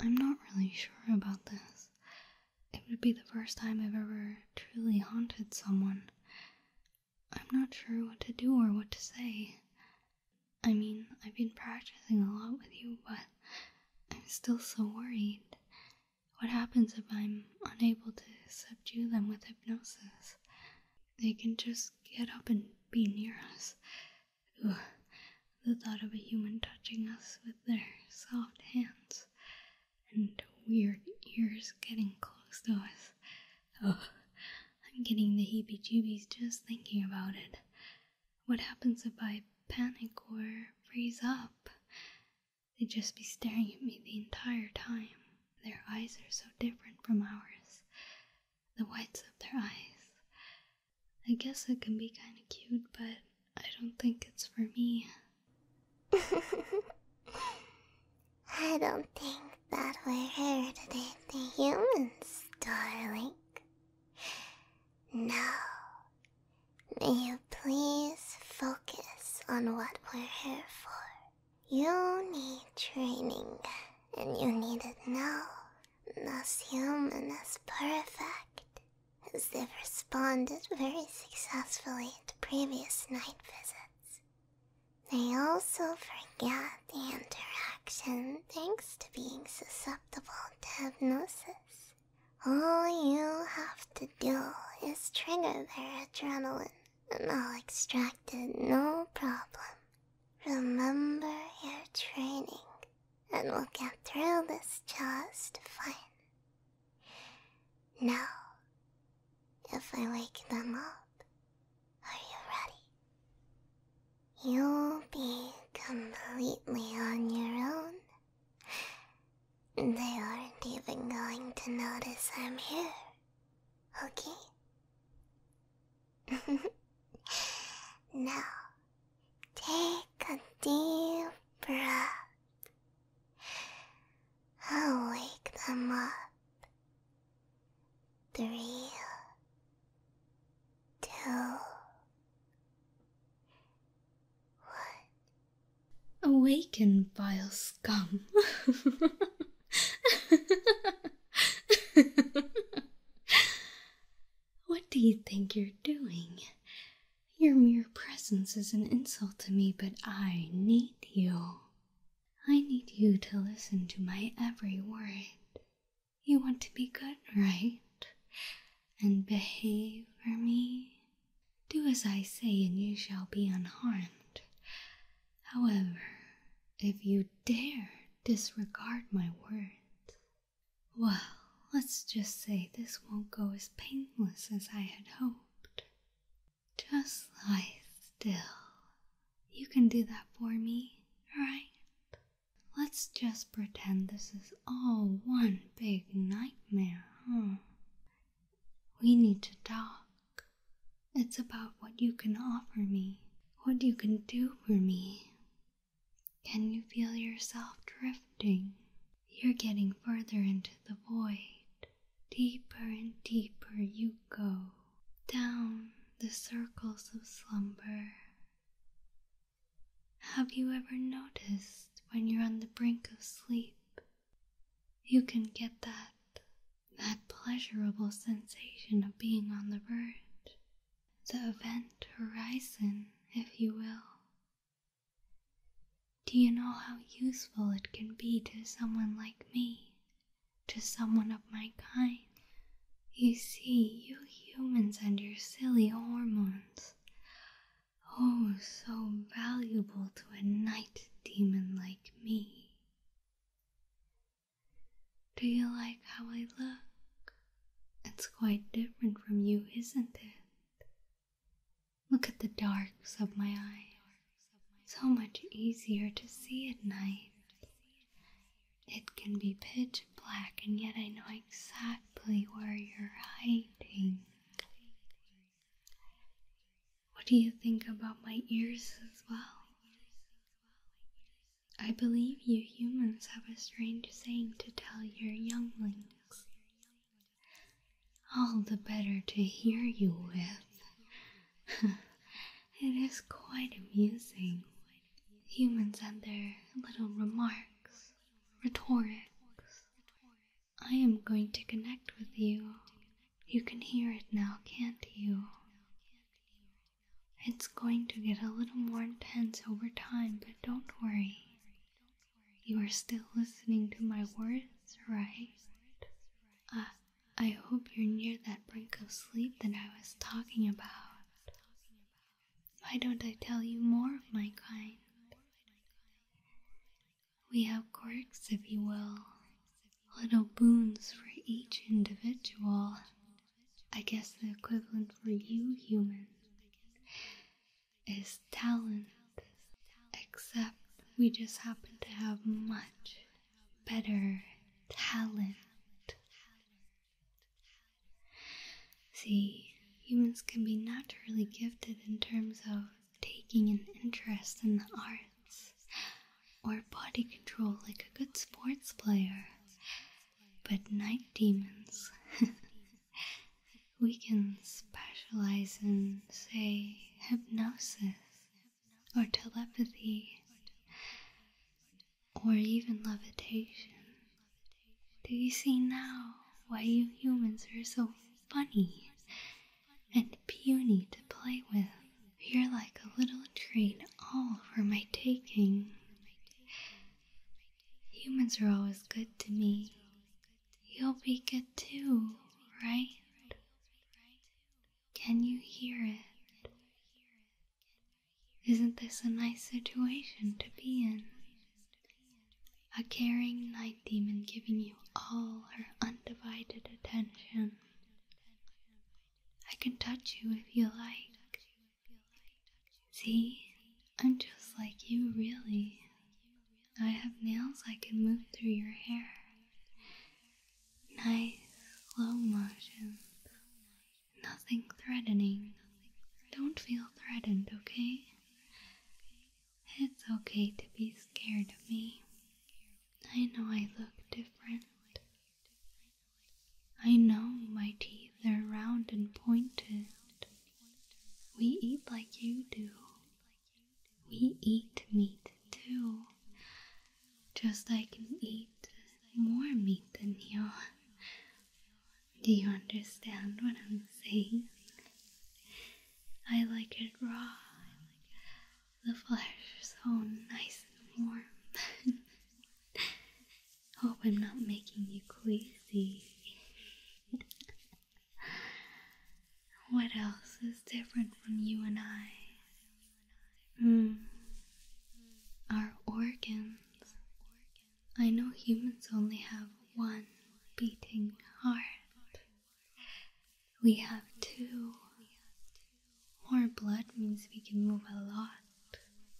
I'm not really sure about this. It would be the first time I've ever truly haunted someone. I'm not sure what to do or what to say. I mean, I've been practicing a lot with you, but I'm still so worried. What happens if I'm unable to subdue them with hypnosis? They can just get up and be near us the thought of a human touching us with their soft hands and weird ears getting close to us. Oh, I'm getting the heebie jeebies just thinking about it. What happens if I panic or freeze up? They'd just be staring at me the entire time. Their eyes are so different from ours. The whites of their eyes, I guess it can be kind of cute, but I don't think it's for me. I don't think that we heredited the humans, darling. No. may you please focus on what we're here for. You need training, and you need it now as human as perfect, as they've responded very successfully to previous night visits. They also forget the interaction thanks to being susceptible to hypnosis. All you have to do is trigger their adrenaline, and I'll extract it no problem. Remember your training, and we'll get through this just fine. Now, if I wake them up, are you ready? You'll be completely on your own. They aren't even going to notice I'm here, okay? now, take a deep breath. I'll wake them up. Three, two, one. Awaken, vile scum. What do you think you're doing? Your mere presence is an insult to me, but I need you. I need you to listen to my every word. You want to be good, right? And behave for me? Do as I say, and you shall be unharmed. However, if you dare disregard my words. Well, let's just say this won't go as painless as I had hoped. Just lie still. You can do that for me, right? Let's just pretend this is all one big nightmare, huh? We need to talk. It's about what you can offer me what you can do for me. Can you feel yourself drifting? You're getting further into the void. Deeper and deeper you go, down the circles of slumber. Have you ever noticed when you're on the brink of sleep, you can get that that pleasurable sensation of being on the verge, the event horizon, if you will. Do you know how useful it can be to someone like me, to someone of my kind? You see, you humans and your silly hormones. Oh, so valuable to a night demon like me. Do you like how I look? It's quite different from you, isn't it? Look at the darks of my eyes. So much easier to see at night. It can be pitch black, and yet I know exactly where you're hiding. What do you think about my ears as well? I believe you humans have a strange saying to tell your younglings. All the better to hear you with. it is quite amusing. Humans and their little remarks, rhetoric. I am going to connect with you. You can hear it now, can't you? It's going to get a little more intense over time, but don't worry. You are still listening to my words, right? Uh, I hope you're near that brink of sleep that I was talking about. Why don't I tell you more of my kind? We have quirks, if you will, little boons for each individual. I guess the equivalent for you humans is talent, except we just happen to have much better talent. See, humans can be naturally gifted in terms of taking an interest in the arts, or body control like a good sports player. But night demons, we can specialize in, say, hypnosis or telepathy or even levitation. Do you see now why you humans are so funny and puny to play with? You're like a little treat, all for my taking. Humans are always good to me. You'll be good too, right? Can you hear it? Isn't this a nice situation to be in? A caring night demon giving you all her undivided attention. I can touch you if you like. See, I'm just like you, really. I have nails I can move through your hair. Nice, slow motion. Nothing threatening. Don't feel threatened, okay? It's okay to be scared of me. I know I look different. I know my teeth are round and pointed. We eat like you do. We eat meat too. Just I can eat more meat than you. Do you understand what I'm saying? I like it raw the flesh so nice and warm. Hope I'm not making you queasy. what else is different from you and I? Hmm. Our organs. I know humans only have one beating heart. We have two. More blood means we can move a lot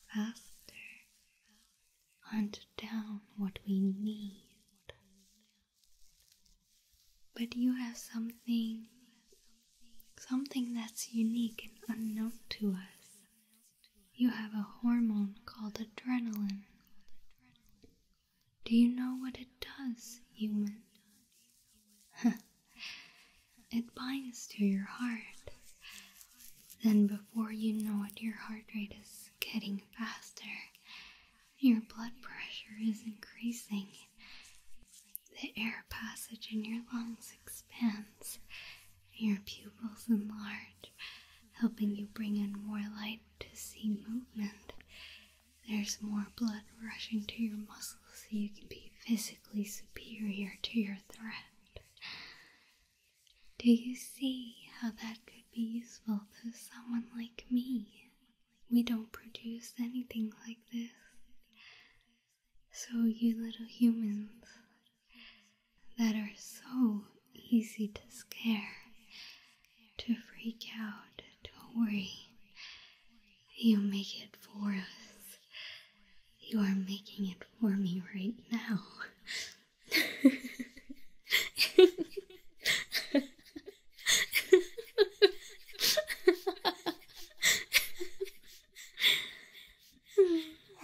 faster. Hunt down what we need. But you have something, something that's unique and unknown to us. You have a hormone called adrenaline. Do you know what it does, human? It binds to your heart. Then, before you know it, your heart rate is getting faster. Your blood pressure is increasing. The air passage in your lungs expands. Your pupils enlarge, helping you bring in more light to see movement. There's more blood rushing to your muscles so you can be physically superior to your threat. Do you see how that could be useful to someone like me? We don't produce anything like this. So, you little humans that are so easy to scare, to freak out, to worry, you make it for us. You are making it for me right now.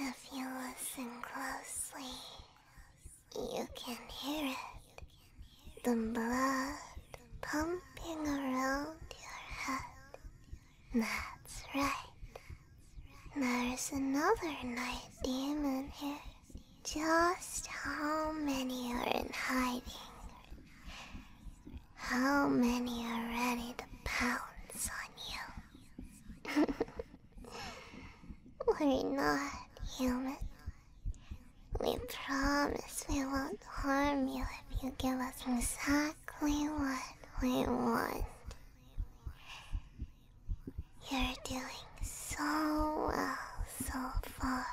if you listen closely, you can hear it. The blood pumping around your head. That's right. There's another night demon here. Just how many are in hiding? How many are ready to pounce on you? We're not human. We promise we won't harm you if you give us exactly what we want. You're doing so well so far.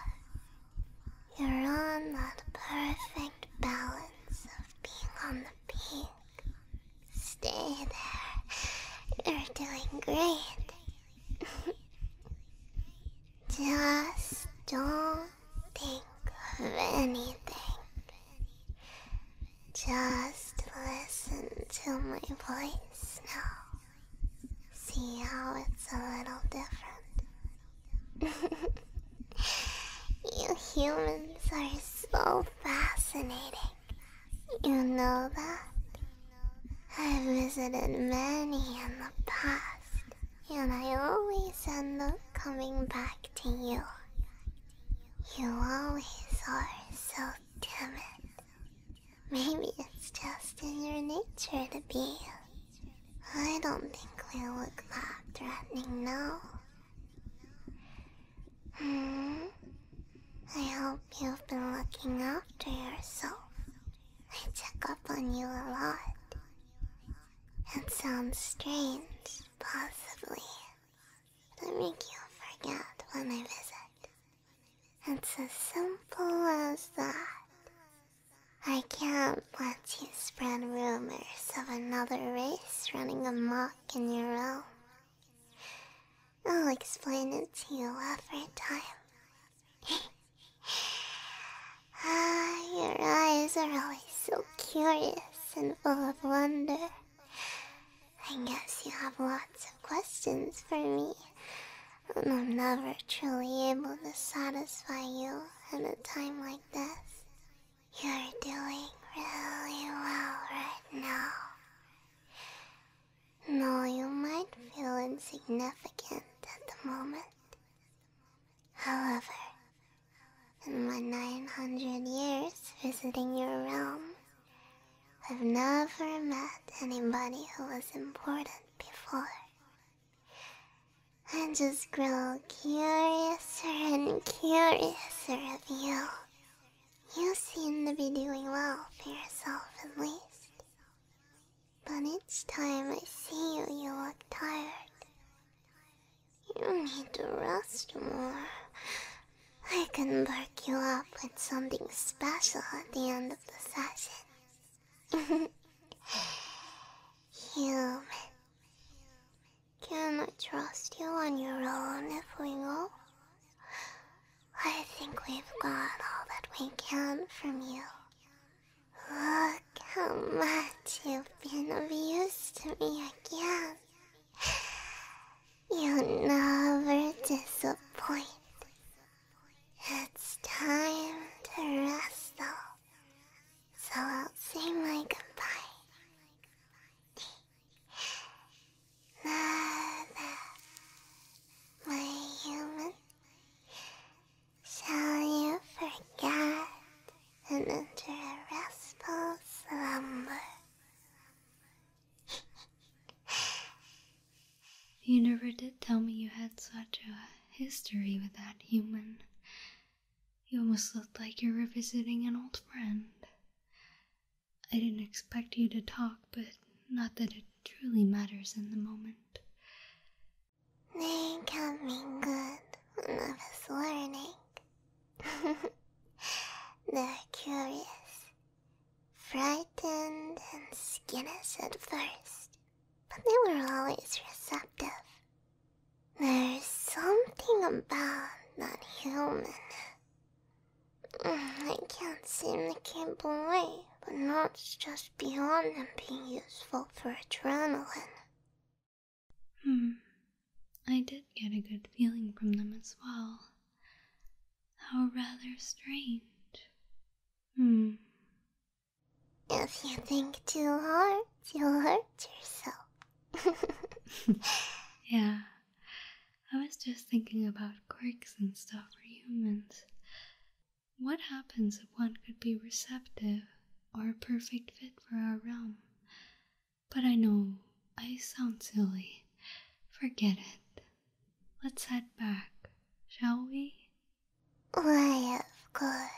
You're on that perfect balance of being on the peak. Stay there. You're doing great. Just don't think of anything. Just listen to my voice now. See how it's a little different. you humans are so fascinating. You know that? I have visited many in the past, and I always end up coming back to you. You always are so timid. Maybe it's just in your nature to be. I don't think we look that threatening now. Hmm. I hope you've been looking after yourself. I check up on you a lot. It sounds strange, possibly. It'll make you forget when I visit. It's as simple as that. I can't let you spread rumors of another race running a mock in your realm. I'll explain it to you every time ah, your eyes are always so curious and full of wonder. I guess you have lots of questions for me, and I'm never truly able to satisfy you at a time like this. You're doing really well right now. No, you might feel insignificant at the moment, However, in my 900 years visiting your realm, I've never met anybody who was important before. I just grow curiouser and curiouser of you. You seem to be doing well for yourself, at least. But each time I see you, you look tired. You need to rest more. I can perk you up with something special at the end of the session. Human. Can I trust you on your own if we go? I think we've got all that we can from you. Look how much you've been of to me again. you never disappoint. It's time to rest so I'll say my goodbye. Nada, my human. Shall you forget and enter a restful slumber? you never did tell me you had such a history with that human. You almost looked like you were visiting an old friend. I didn't expect you to talk, but not that it truly matters in the moment. They can be good when enough as learning. They're curious, frightened and skinless at first, but they were always receptive. There's something about that human. Mm, I can't seem to keep away, but not just beyond them being useful for adrenaline. Hmm. I did get a good feeling from them as well. How rather strange. Hmm. If you think too hard, you'll hurt yourself. yeah. I was just thinking about quirks and stuff for humans. What happens if one could be receptive or a perfect fit for our realm? But I know I sound silly. Forget it. Let's head back, shall we? Why, of course.